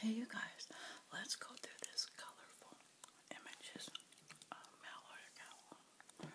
Hey you guys, let's go through this colorful images of uh, Mallard account.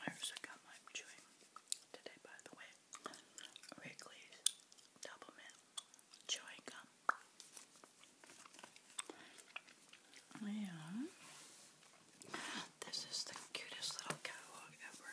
I also got my chewing today by the way. Wrigley's double chewing gum. Yeah. This is the cutest little catalog ever.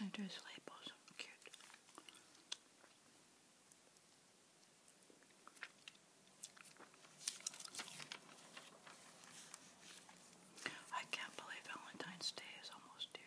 And there's labels, cute. I can't believe Valentine's Day is almost here.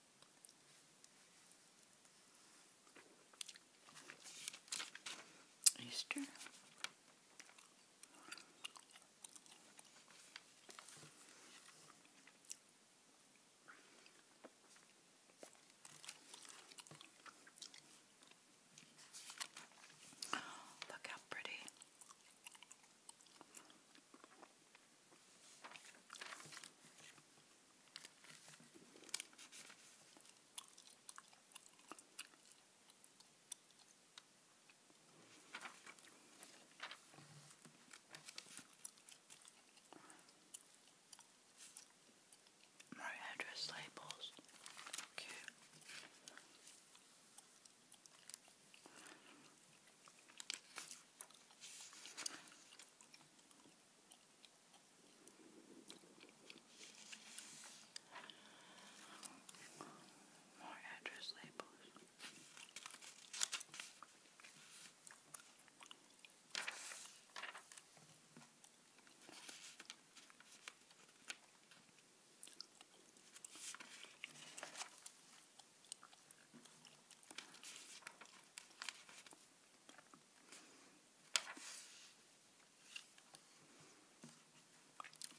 Easter. look how pretty. More address labels. Cute. More address labels.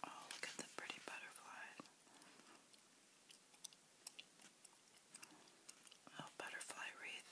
Oh, look at the pretty butterflies. A oh, little butterfly wreath.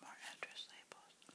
More address labels.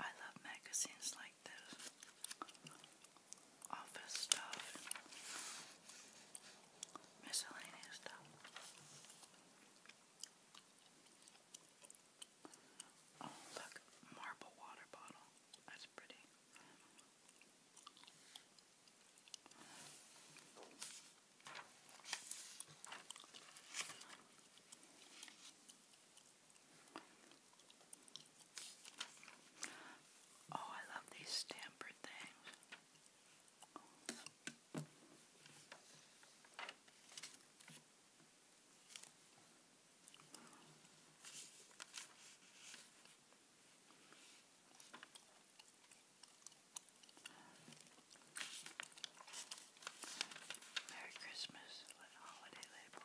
I love magazines like this. Office stuff. Miscellaneous stuff. Oh, look. Marble water bottle. That's pretty. Oh, I love these stampered things. Merry Christmas holiday label.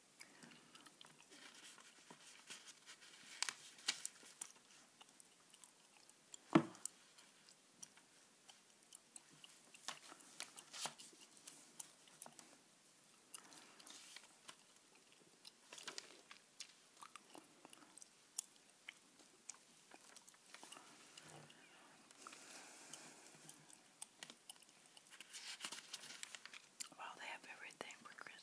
Well, they have everything for Christmas.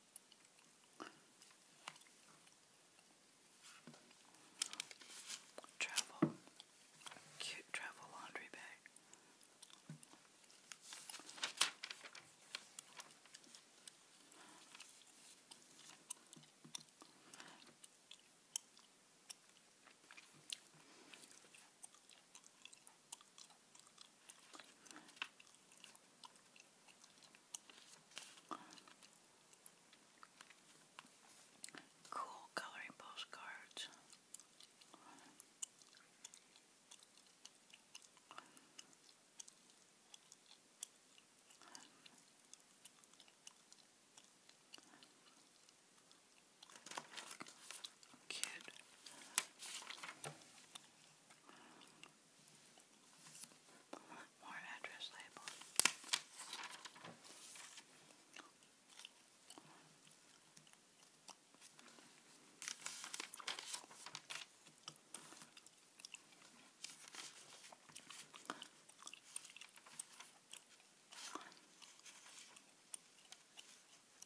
Travel, cute travel laundry bag. Cool coloring postcards. Cute. I want more address labels. I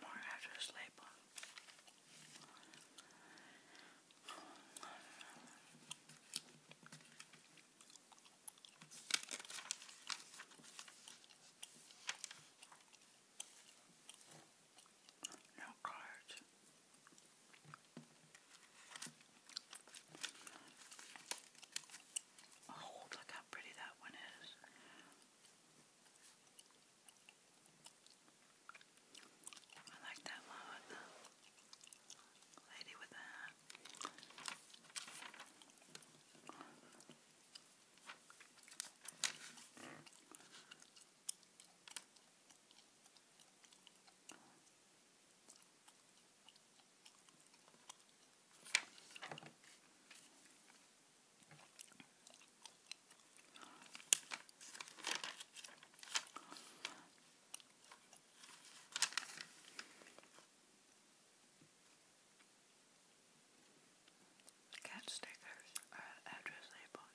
More after sleep. No cards. Oh, look how pretty that one is. I like that one, the lady with the hat. Cat stickers are address labeled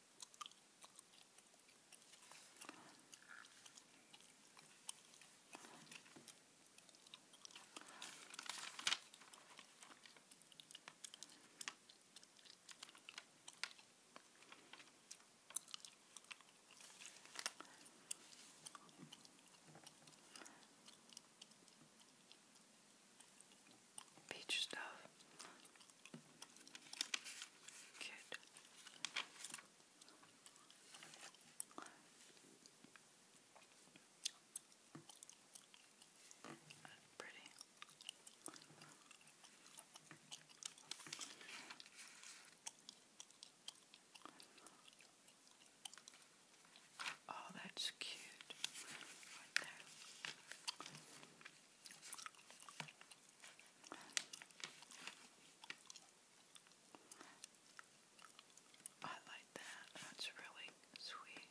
Peach stuff Good. That's pretty. Oh, that's cute. Right there. I like that. That's really sweet.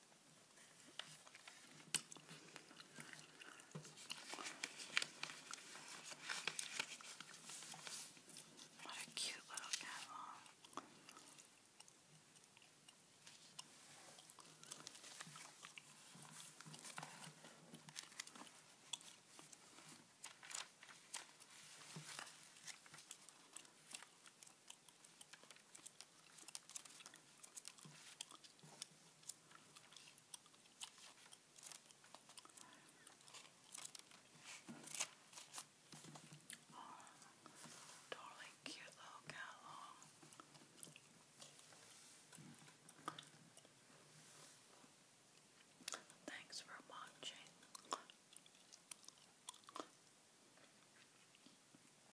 What a cute little catalog. Oh, darling, cute little cat long. Thanks for watching.